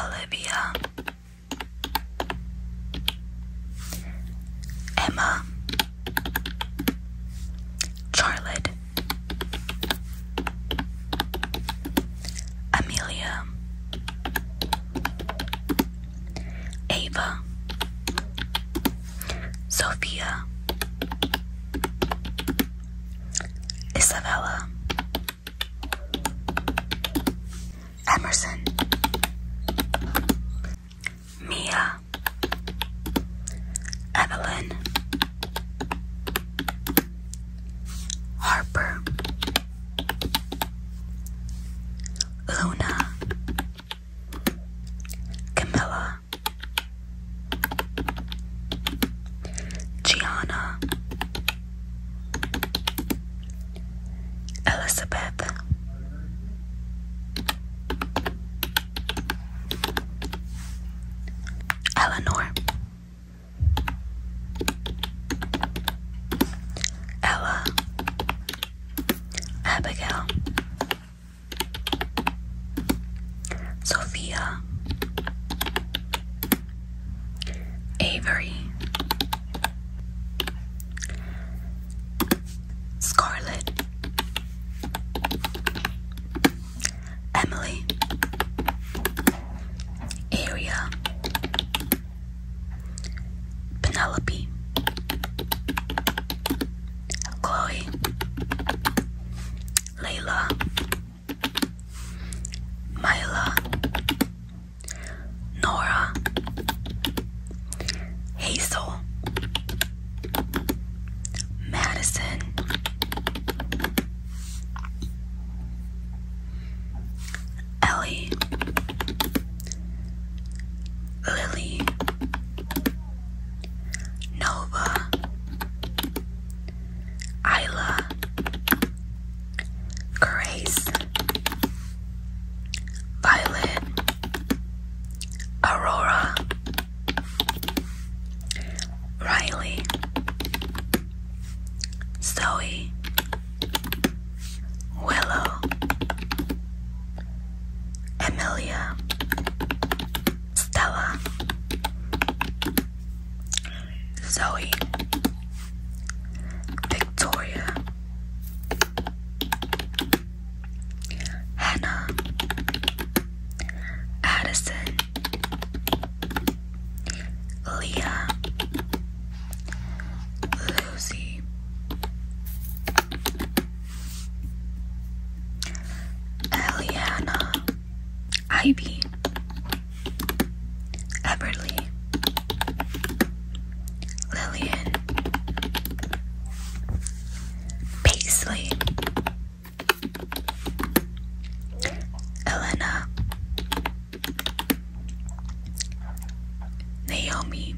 Olivia, Emma, Charlotte, Amelia, Ava, Sophia, Isabella. Emerson, Mia, Evelyn, Harper, Luna, Camilla, Gianna. Elizabeth Eleanor Ella Abigail Sophia Avery, Scarlet, Emily, Aria, Penelope, Chloe, Layla. Myla, Nora, Hazel, Madison, Ellie, Lily, Nova, Isla, Grace, Violet, Aurora, Riley, Zoe, Willow, Amelia, Stella, Zoe, Victoria, Hannah, Addison, Leah, Lucy, Eliana, Ivy. Eberly, Lillian, Paisley, Elena, Naomi,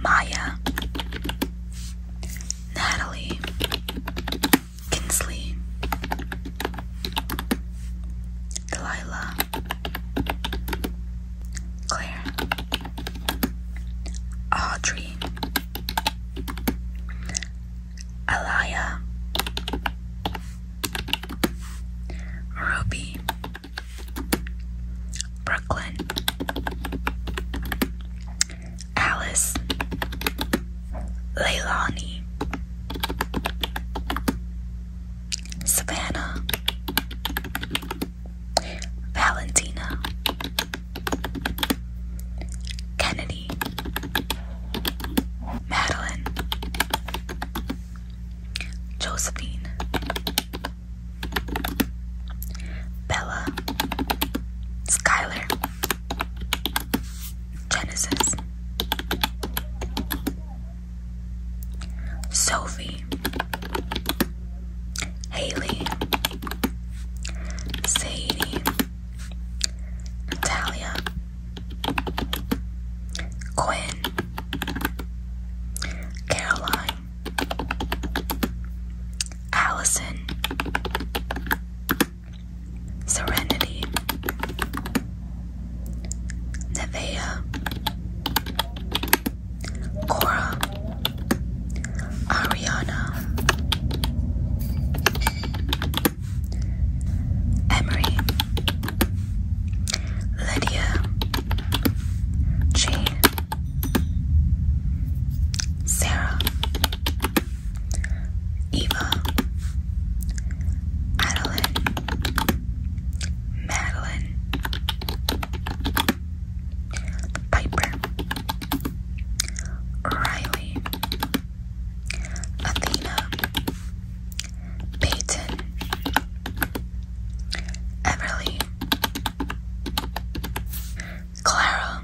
Maya, Natalie. Kinsley, Delilah, Claire, Audrey, Alaya, Ruby, Brooklyn, Alice Leilani Savannah Valentina Kennedy Madeline Josephine Bella Skylar Genesis. Sophie. Haley. Sadie. Natalia. Quinn. Caroline. Allison. Serenity, Nevea, Cora, Ariana, Emery, Lydia, Jane, Sarah. Eva, Adeline, Madeline, Piper, Riley, Athena, Peyton, Everly, Clara,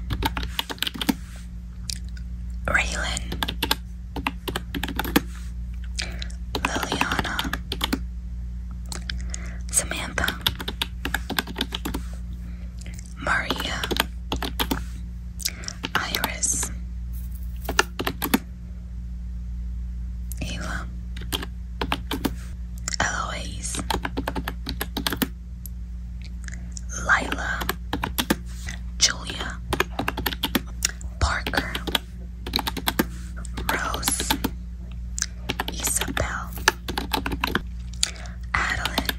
Raylan, Liliana, Samantha, Maria, Iris, Eva, Eloise, Lila, Julia, Parker, Rose, Isabel, Adeline,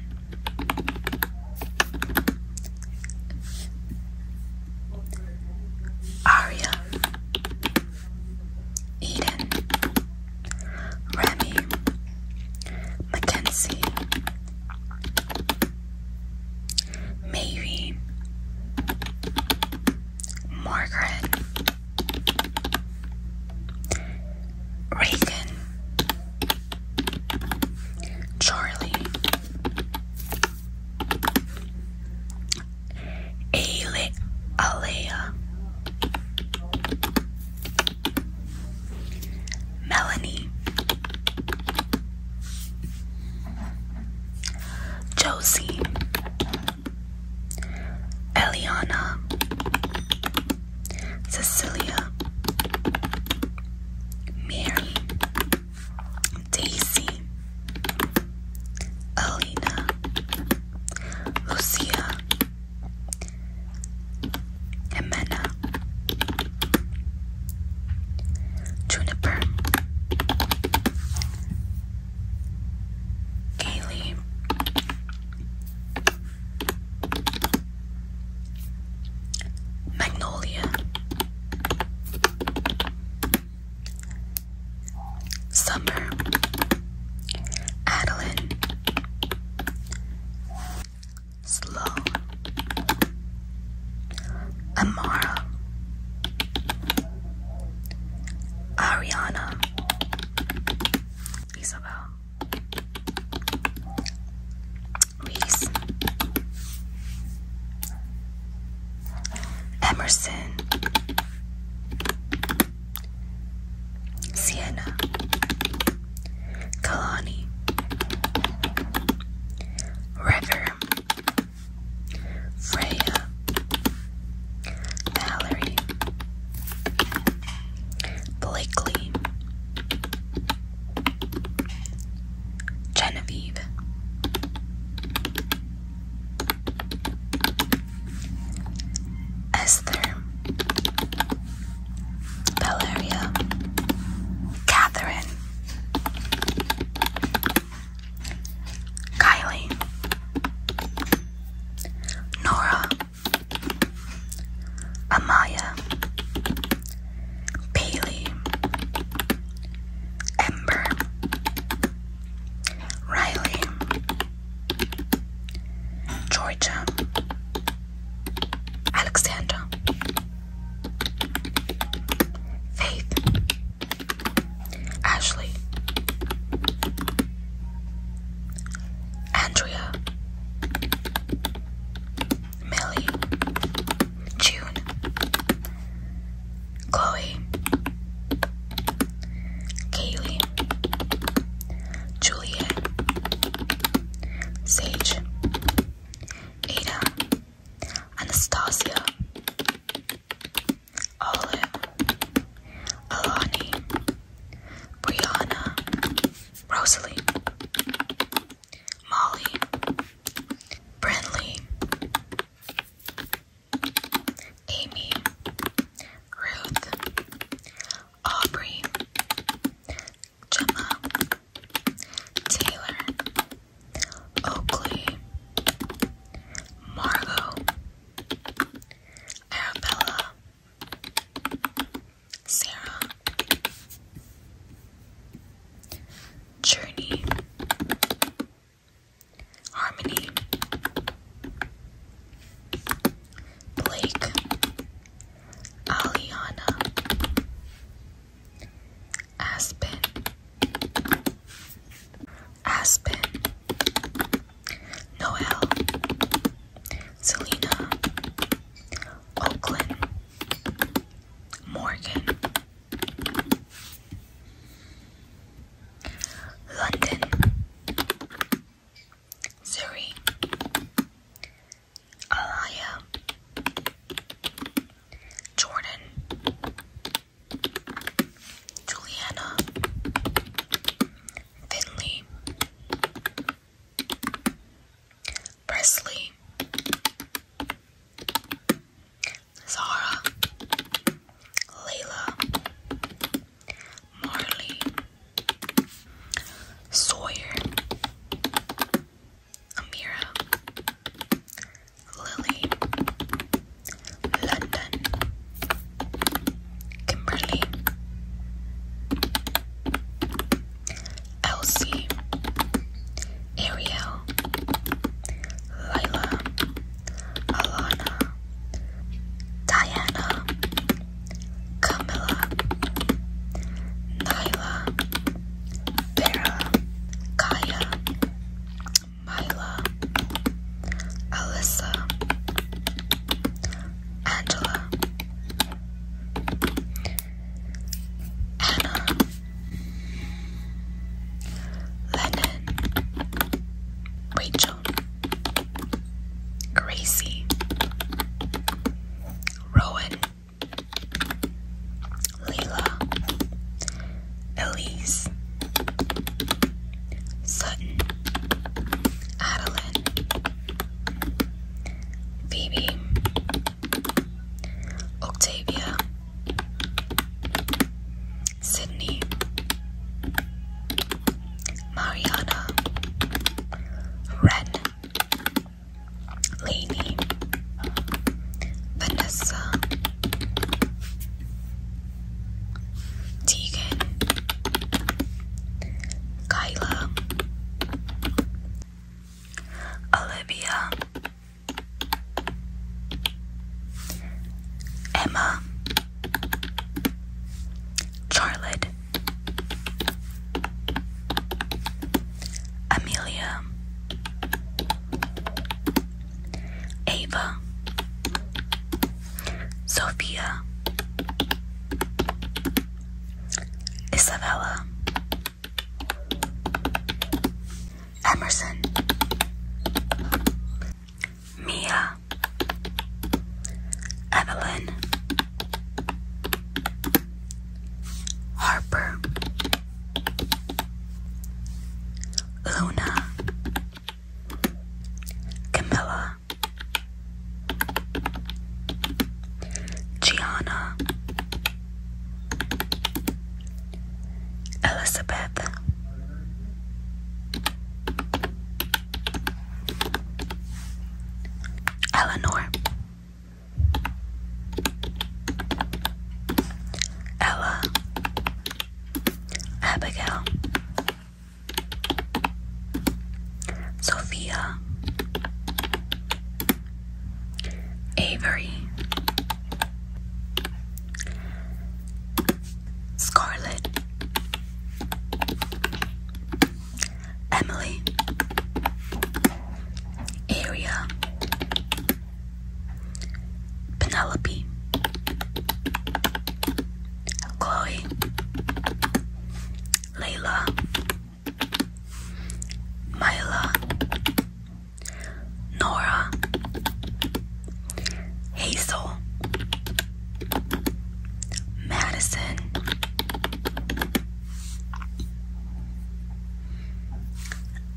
Arya, Eden, Remy, Mackenzie. Maybe Margaret Reagan Charlie Ale Alea Melanie, Josie, Eliana, Cecilia, Mary, Daisy, Alina, Lucia, Amena Juniper Ailey Magnolia Summer Adeline Slow. Amara, Ariana, Isabel, Reese, Emerson, Sienna. Kalani River Freya Valerie Blakely Genevieve Esther Valeria, Catherine, Kylie, Nora, Amaya, Bailey, Ember, Riley, Georgia, Alexander, Faith, Ashley, Andrea, Millie, June, Chloe, Kaylee, Juliet, Sage. Ada, Anastasia, Olive, Alani, Brianna, Rosalie, Molly, Brinley, Amy, Ruth, Aubrey, Gemma. Taylor, Oakley, Margot, Arabella, Sarah, Journey, Harmony, Blake, Aliana, Aspen, Aspen, Noel, Selena, Oakland, Morgan, London, Surrey, Alaya, Jordan, Juliana, Finley, Presley, Zara, Layla, Marley, Sawyer, Amira, Lily, London, Kimberly, Elsie, Ariel, Lila, Alana, Diana, Camilla, Nyla. Vera, Kaya, Myla, Alyssa, Angela, Anna, Lennon, Rachel, Gracie, Rowan. Leila, Elise, Sutton, Adeline, Phoebe, Octavia, Sydney, Mariana, Ren, Lainey, uh, Vanessa, Tegan, Kyla, Olivia, Emma, Charlotte, Amelia, Ava, Sophia, Isabella, Emerson, Mia, Evelyn, Harper, Luna, Camilla, Gianna, Elizabeth. Eleanor Ella, Abigail, Sophia, Avery, Scarlet, Emily, area Penelope, Chloe, Layla, Myla, Nora, Hazel, Madison,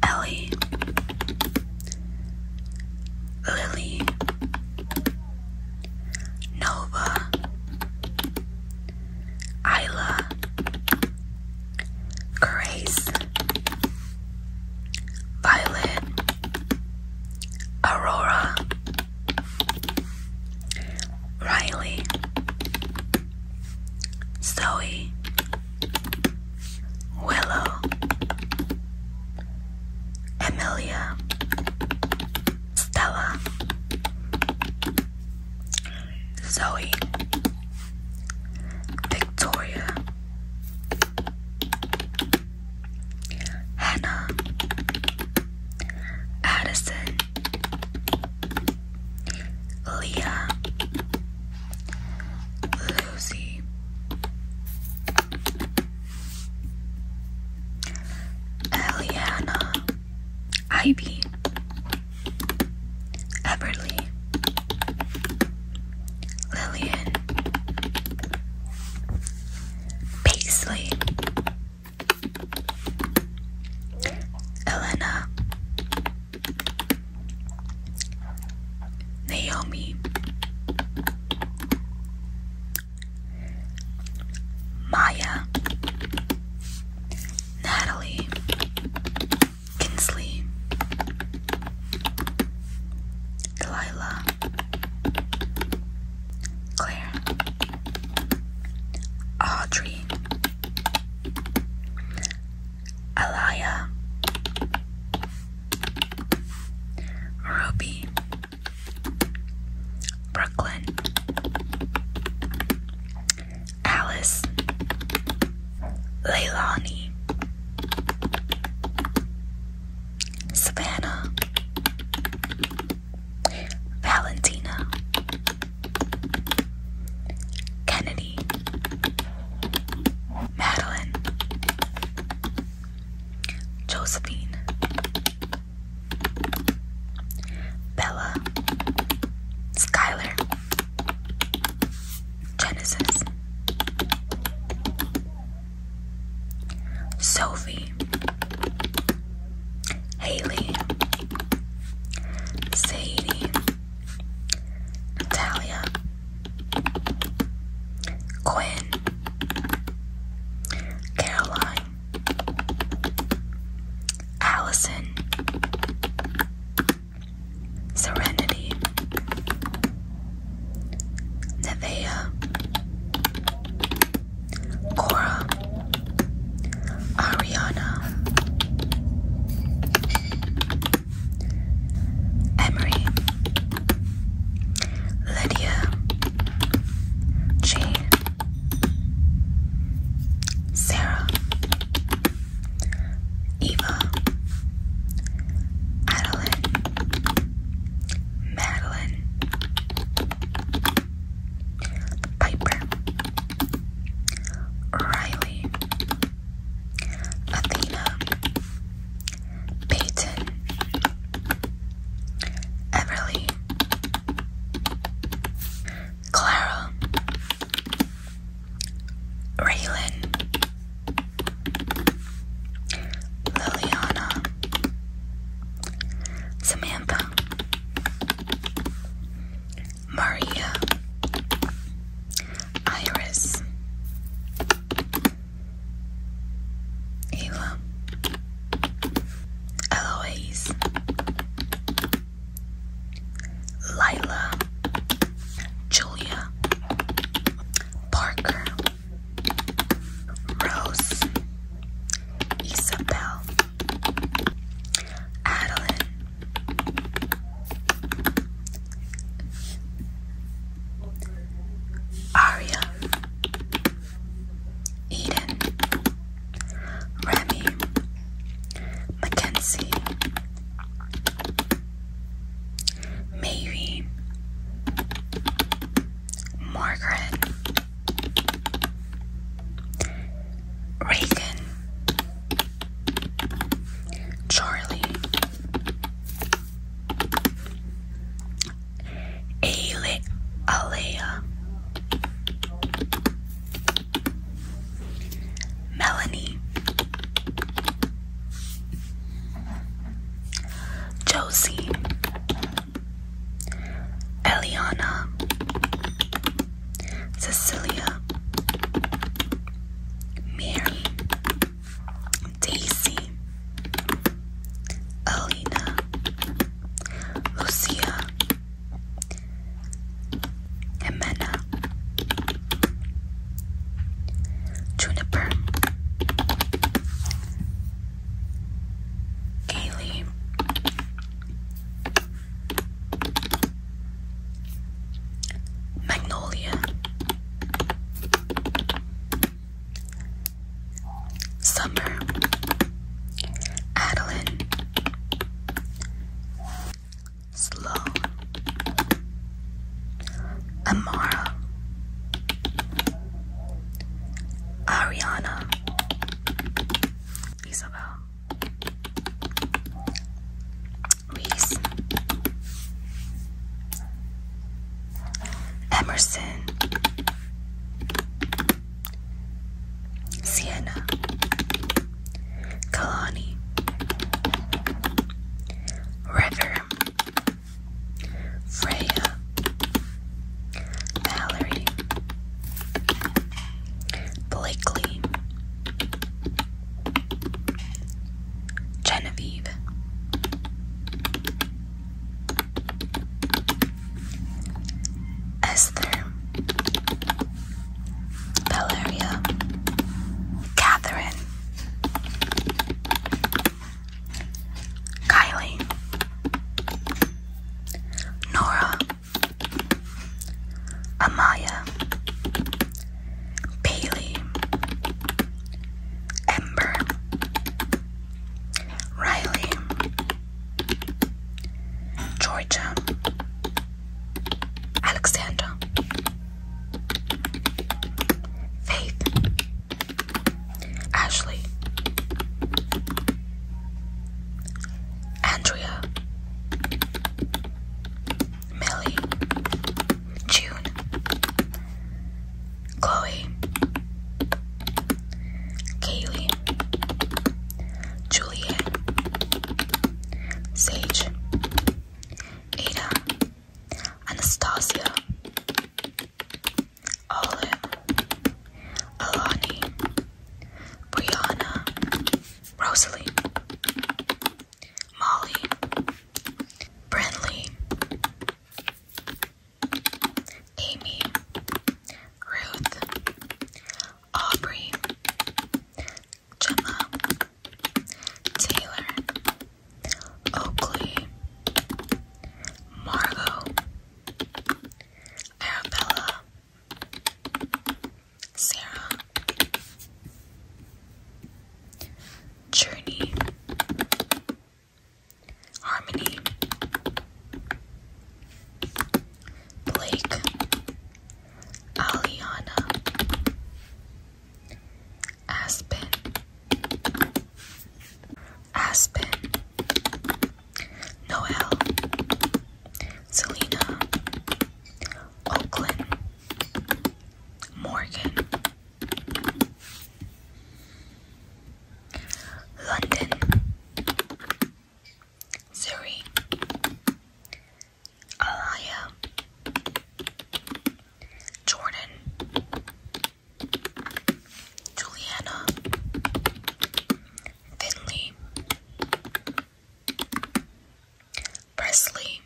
Ellie, Lily, Nova, Isla, Grace, Violet, Aurora, Riley, Zoe, Willow, Emilia, Stella, Zoe, Victoria, Hannah, Addison, Leah, Lucy, Eliana, Ivy, Everly, Lillian, Paisley, Elena, Naomi Maya Natalie Kinsley Delilah Claire Audrey Alaya, Ruby, Brooklyn, Alice, Leilani, Savannah, Valentina, Kennedy, Madeline, Josephine, Bella, Skylar, Genesis, Sophie, Haley, Sadie. Natalia, Quinn, Caroline, Allison, Serenity, Nevea, Cora, Ariana, Emery, Lydia, Jane, Sarah, Eva, Adeline, Madeline, Piper, Riley. Athena, Peyton, Everly, Clara, Raylan, Liliana, Samantha, Maria Iris Eva Eloise Lila Julia Parker Rose Isabel Adeline Aria, Eden, Remy, Mackenzie, Maybe, Margaret, Reagan, Charlie, Ale Alea, Melanie, Josie, Eliana. Cecilia, Mary, Daisy, Alina, Lucia, Jimena, Juniper, Kaylee, Magnolia Summer Adeline Slow Amara Ariana Isabel Reese Emerson Sienna Kalani River Freya Valerie Blakely Genevieve, Esther, Valeria, Catherine, Kylie, Nora. Amaya, Bailey, Ember, Riley, Georgia, Alexander, Faith, Ashley, Andrea, Millie, June, Chloe, Kaylee, Juliet, Sage, Ada, Anastasia, Olive, Alani, Brianna, Rosalie, Molly, Bradley, Amy, Ruth, Aubrey, Gemma, Taylor, Oakley, Margot, Arabella, Sarah. Journey. Harmony. Blake. Aliana. Aspen. Aspen. Noel. Selena. Oakland. Morgan. London. Surrey. Alaya. Jordan. Juliana. Finley. Presley,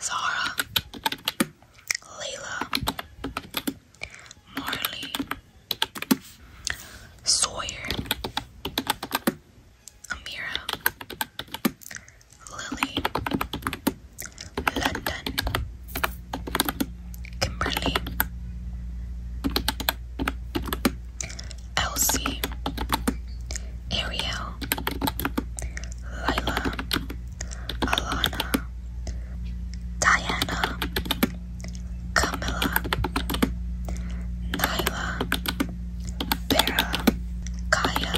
Zara, Layla, Marley, Sawyer, Amira, Lily, London, Kimberly, Elsie, Ariel, Lila, Alana, Diana, Camilla, Nyla, Vera, Kaya,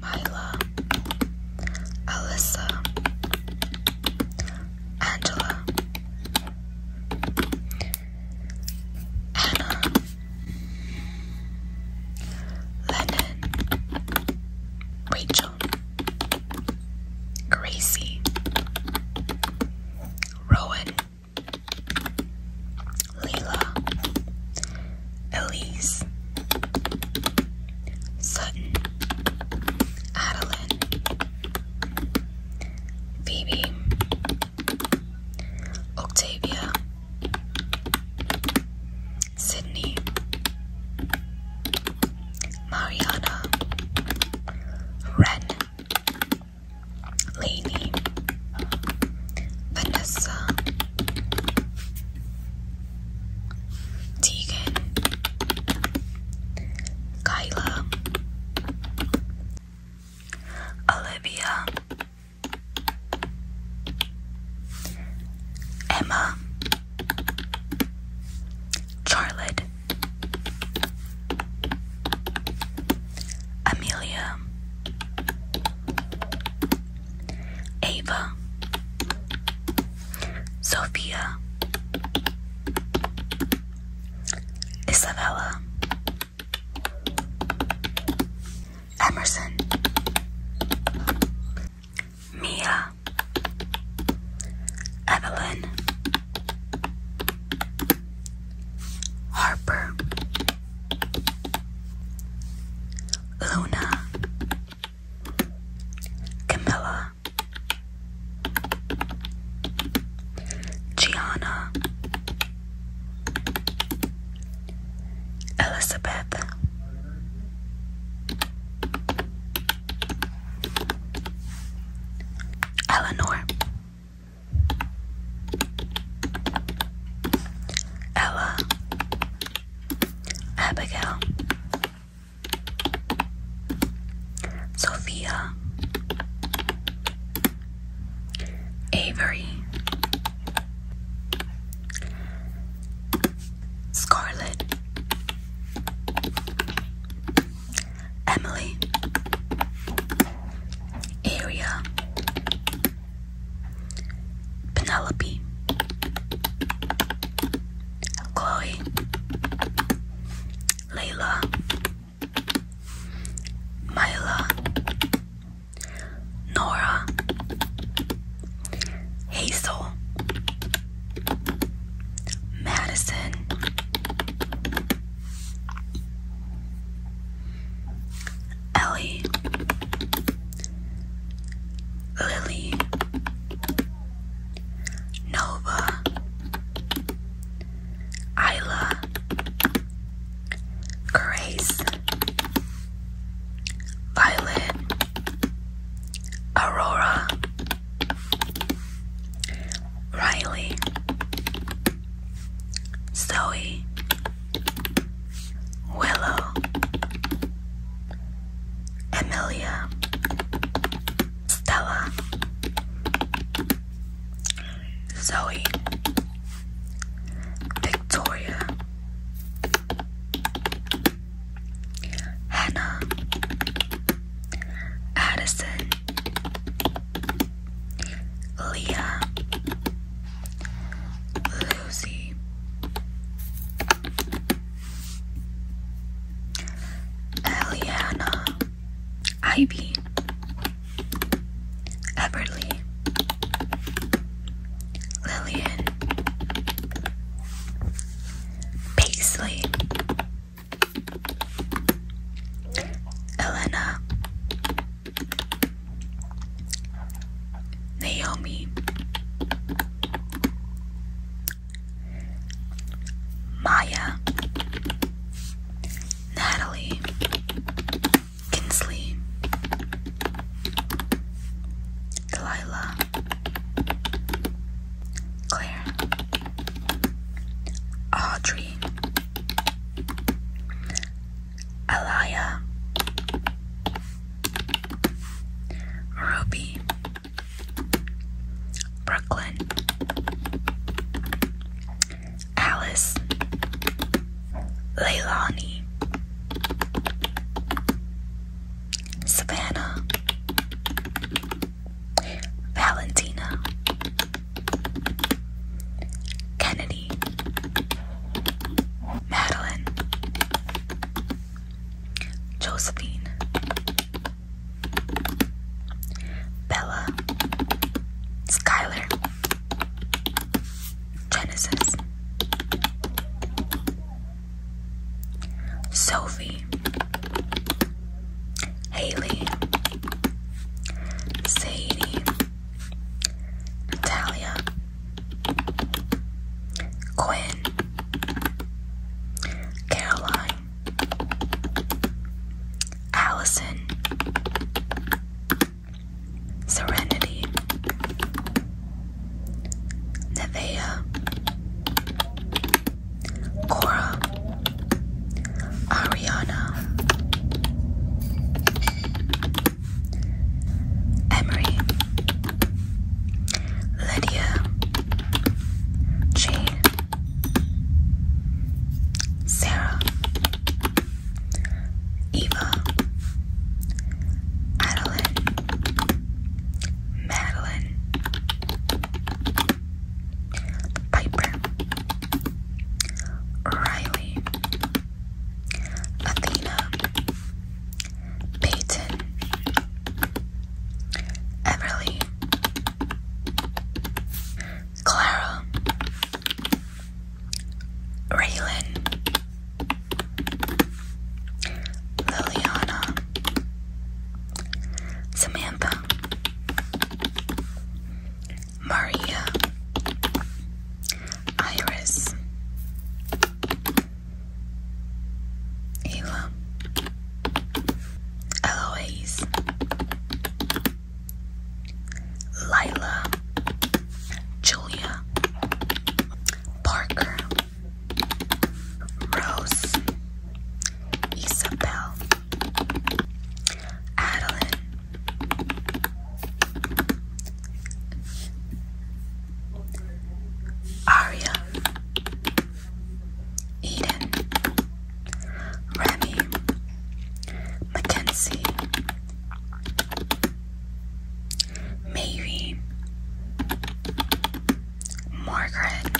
Mila, Alyssa, Angela, Anna Lennon Rachel Gracie Rowan Leila Elise Sutton Adeline Phoebe Octavia, Sydney, Mariana, Ren, Lainey, Vanessa, Tegan, Kyla, Olivia, Emma, Charlotte, Amelia, Ava, Sophia, Isabella. Emerson Mia Evelyn Harper Luna Camilla Gianna Elizabeth Eleanor Ella Abigail Sophia Avery, Scarlet, Emily, Area, Penelope, Chloe, Layla. Myla, Nora, Hazel, Madison, Ellie, Lily, Nova, Isla, Grace, Violet, Aurora, Riley, Zoe, Willow, Amelia, Stella, Zoe, Victoria, Hannah, Addison, Leah, Lucy, Eliana, Ivy. Eberly, Lillian, Paisley, Elena, Naomi, Maya, Natalie. Kinsley, Delilah, Claire, Audrey, Alaya, Ruby, Brooklyn, Alice Leilani Savannah Valentina Kennedy Madeline Josephine Bella Skylar Genesis. Sophie. Haley. Sadie. Natalia. Quinn. Caroline. Allison. Serenity, Nevea, Cora, Ariana, Emery, Lydia, Jane, Sarah, Eva, Adeline, Madeline, Piper, Riley, Athena, Peyton, Everly, Clara, Raylan, Liliana, Samantha, Maria, Iris, Ayla, Eloise, Lila, Julia, Parker, Rose, Isabel, Adeline, Arya, Eden, Remy, Mackenzie. Maybe Margaret,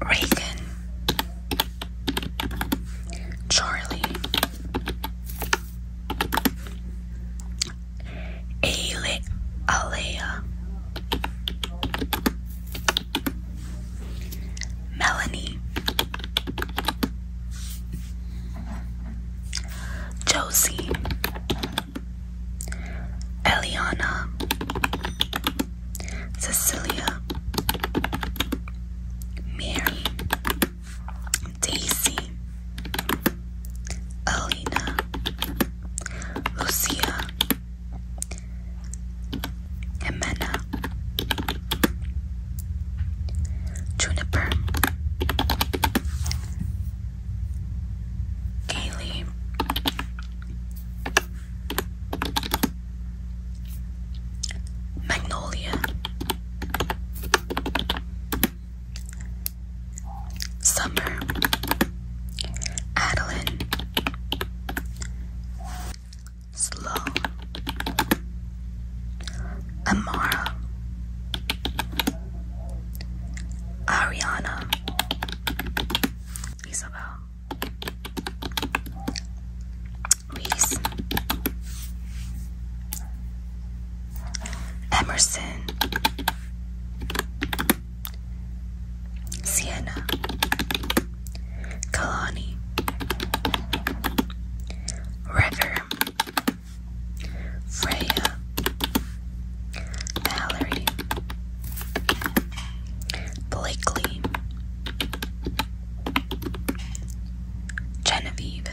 Reagan, Charlie, Ale Alea, Melanie, Josie, Eliana, Cecilia, Mary, Daisy, Alina, Lucia, Jimena Juniper Kaylee Magnolia Summer Adeline Slow. Amara. Ariana. Isabel. Reese. Emerson. Sienna. Kalani River Freya Valerie Blakely Genevieve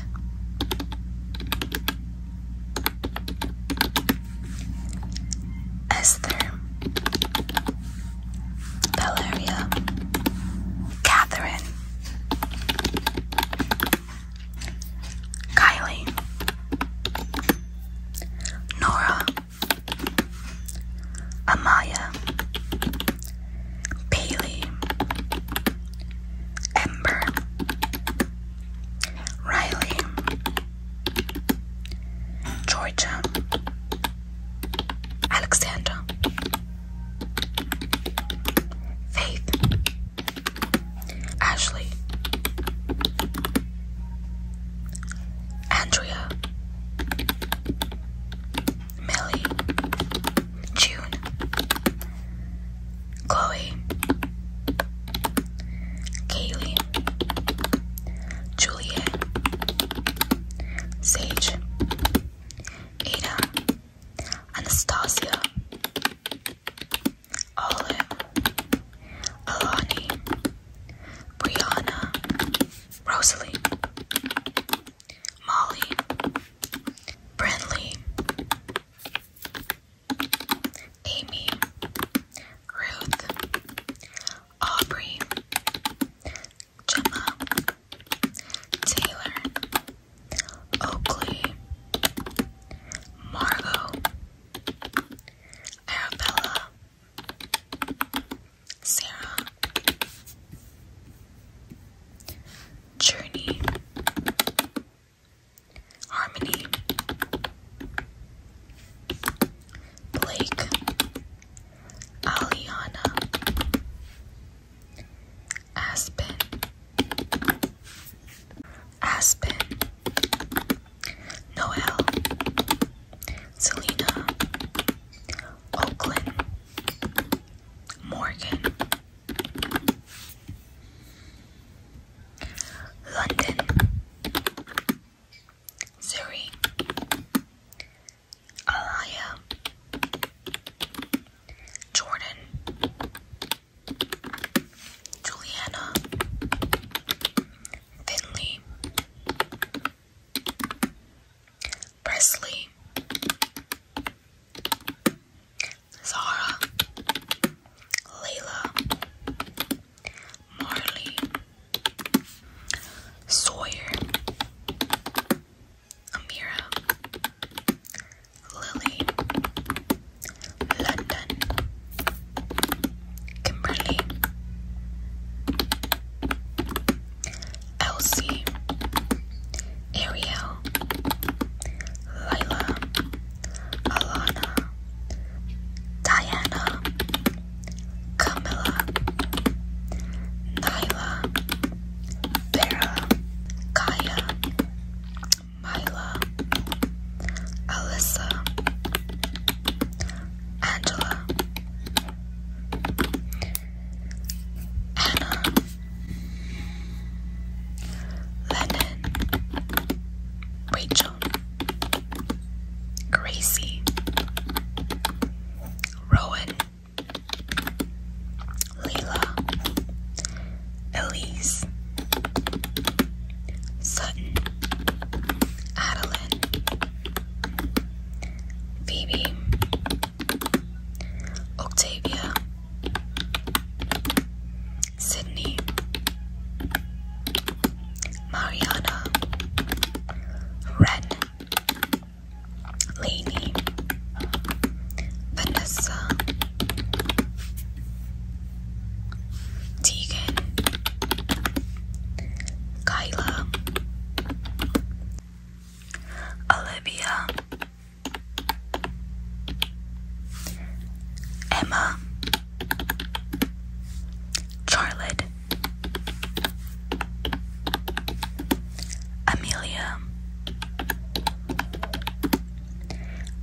Esther Valeria, Catherine, Kylie, Nora, Amaya, Bailey, Ember, Riley, Georgia. Alexander, Faith, Ashley, Andrea, Millie, June, Chloe, Kaylee, Juliet, Sage, Ada, Anastasia, Olive, Alani, Brianna, Rosalie, Molly, Brinley, Amy, Ruth, Aubrey, Gemma, Taylor, Oakley, Margot, Arabella, Sarah, Journey, Harmony, Blake, Aliana, Aspen, Aspen, Noel, Selena, Oakland, Morgan, London, Surrey, Aliyah, Jordan, Juliana, Finley, Presley, Zara, Layla, Marley, Sawyer, Amira, Lily, London, Kimberly, Elsie, Ariel, Lila, Alana, Diana, Camilla, Nyla. Bella, Kaya, Myla, Alyssa, Angela, Anna, Lennon, Rachel, Gracie, Rowan. Leela, Elise, Sutton, Adeline, Phoebe, Octavia, Sydney, Mariana, Ren, Lainey, uh, Vanessa, Tegan, Kyla, Olivia, Emma, Charlotte, Amelia,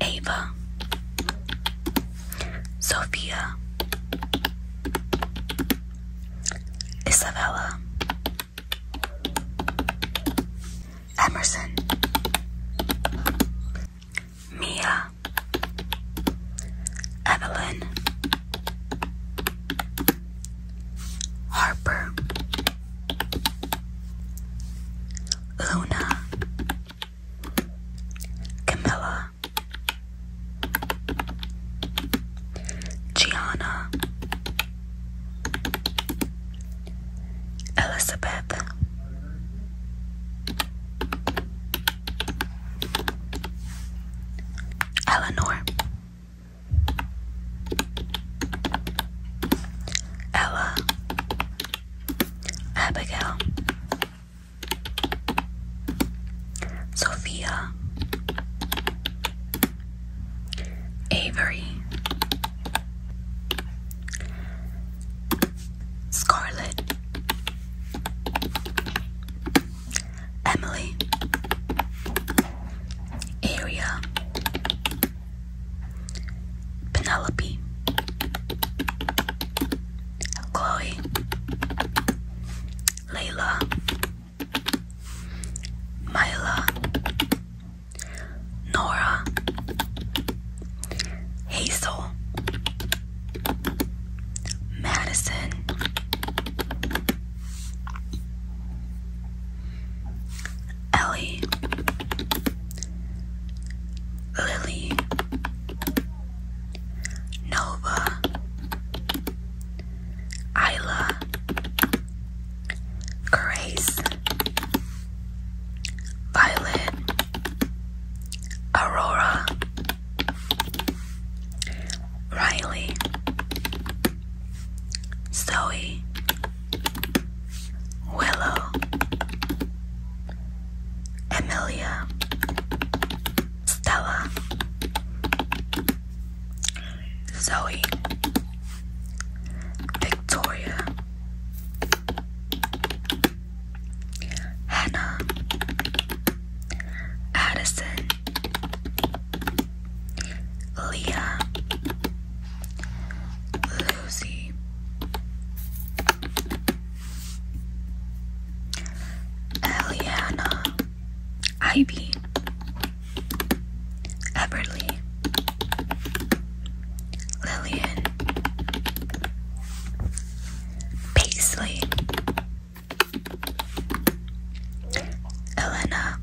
Ava, Sophia, Isabella, Emerson, Mia, Evelyn, Harper, Luna, Camilla, Gianna, Elizabeth. Eleanor Ella, Abigail, Sophia, Avery, Scarlett, Emily area Penelope Chloe Layla Myla Nora Hazel Madison Ellie, Lily, Nova, Isla, Grace, Violet, Aurora, Riley, Zoe, Willow, Emilia, Stella, Zoe, Victoria, Hannah, Addison. Leah, Lucy, Eliana, Ivy, Everly, Lillian, Paisley. Elena,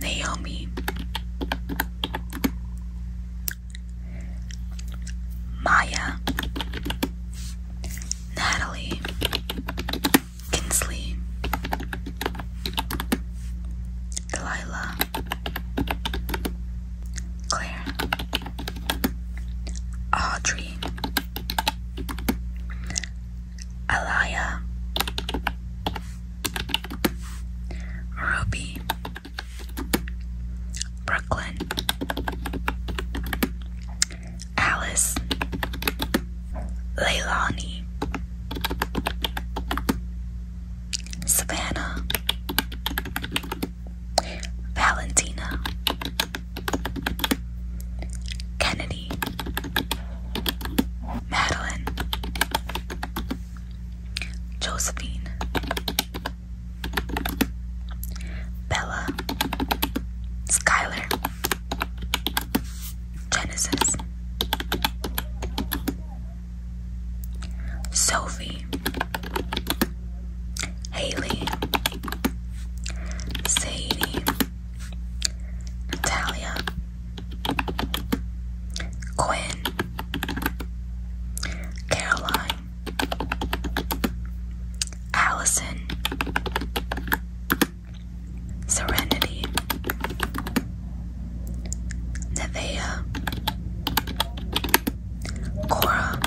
Naomi Maya Natalie Kinsley Delilah Claire Audrey Alaya, Ruby, Brooklyn, Alice, Leilani, Savannah, Valentina. Kennedy, Madeline, Josephine, Bella, Skylar, Genesis, Sophie, Haley, Sadie. Natalia, Quinn, Caroline, Allison, Serenity, Nevea, Cora,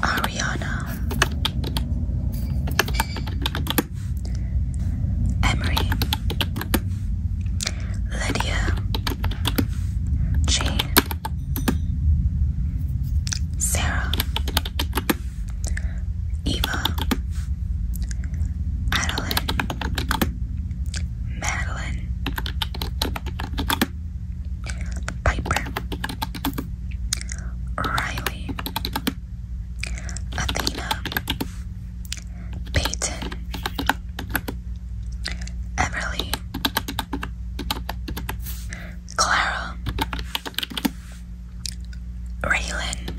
Ariana Emery Lydia Jane Sarah Eva Adeline Madeline Piper Riley Athena, Peyton, Everly, Clara, Raylan,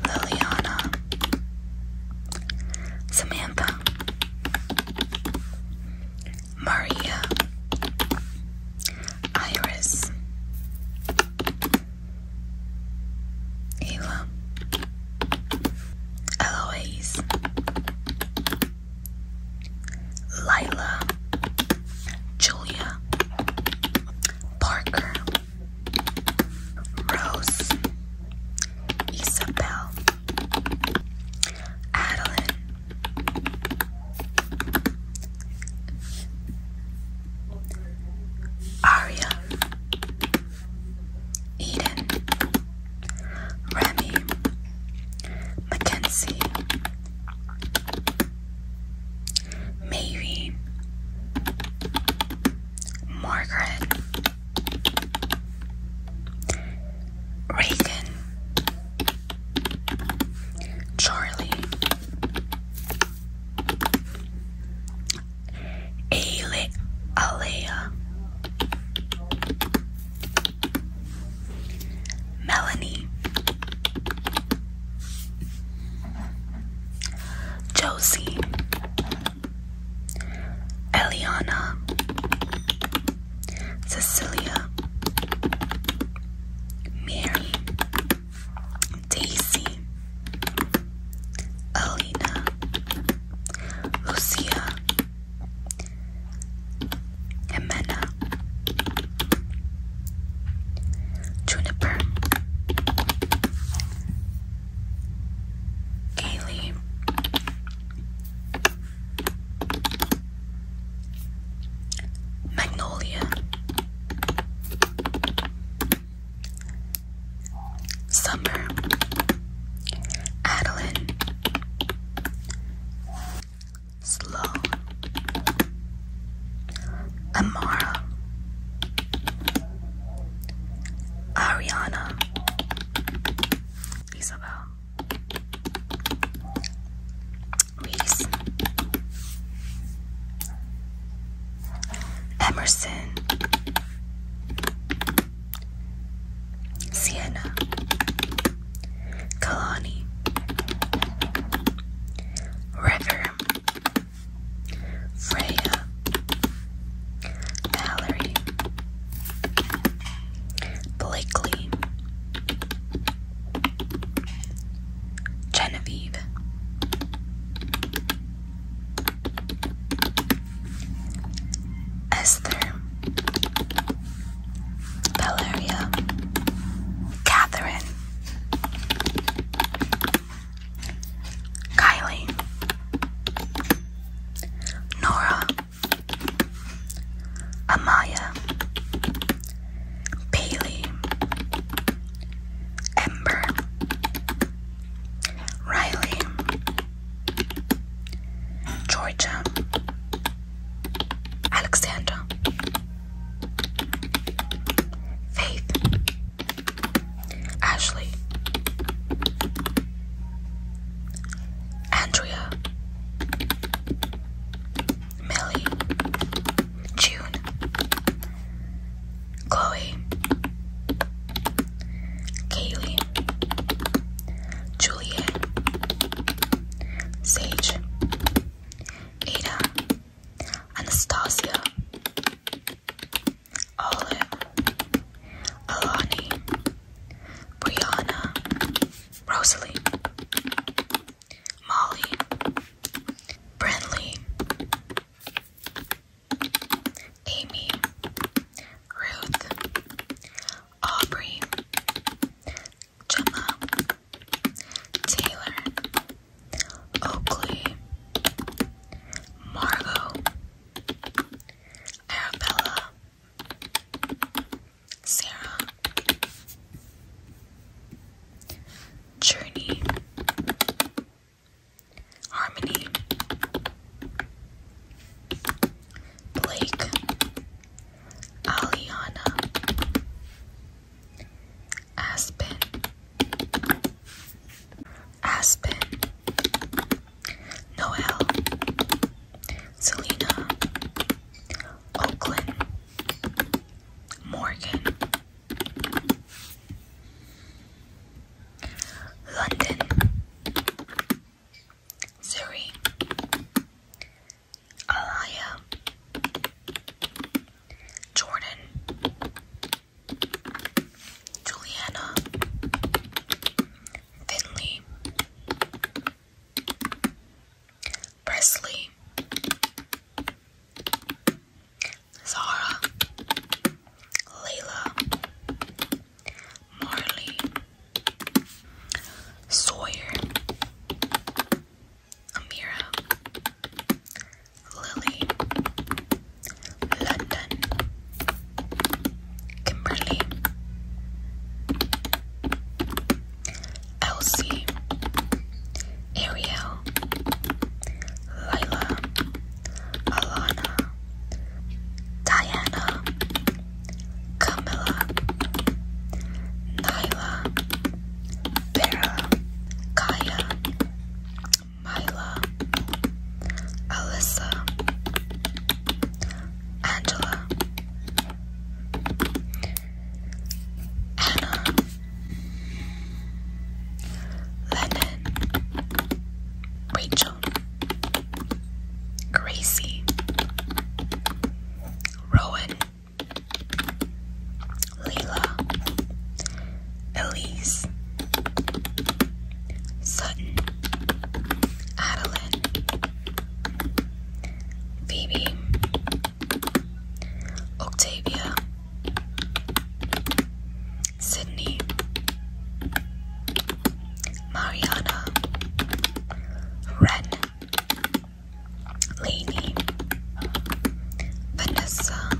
Liliana, Samantha, Maria, Iris, Eva, Eloise, Lila, Julia, Parker, Rose, Isabel, Adeline, Aria, Eden, Remy, Mackenzie, Maybe, Margaret, Reagan, Charlie, Ale Alea, Melanie, Josie, Eliana. Cecilia, Mary, Daisy, Alina, Lucia, Jimena, Juniper, Kaylee, Magnolia Summer Adeline Slow Amara Ariana Isabel Reese Emerson Sienna Kalani River Freya Valerie Blakely Genevieve. Esther. Valeria. Catherine. Kylie. Nora. Amaya, Bailey, Ember, Riley, Georgia, Alexander, Faith, Ashley, Andrea, Millie, June, Chloe, Kaylee, Juliet, Sage, Ada, Anastasia, Olive, Alani, Brianna, Rosalie, Molly, Bradley, Amy, Ruth, Aubrey, Gemma, Taylor, Oakley, Margot, Arabella, Sarah. Journey. Harmony. Blake. Aliana. Aspen. Aspen. Noel. Selena. Oakland. Morgan, London, Surrey, Alaya, Jordan, Juliana, Finley, Presley, Zara, Layla, Marley, Sawyer, Amira, Lily, London, Kimberly, Elsie, Ariel, Lila, Alana, Diana, Camilla, Nyla, Vera, Kaya, Myla, Alyssa, Angela, Anna Lennon Rachel Gracie Rowan Leila Elise Sutton Adeline Phoebe Octavia, Sydney, Mariana, Ren, Lainey, Vanessa,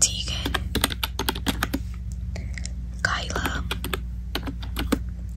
Tegan, Kyla,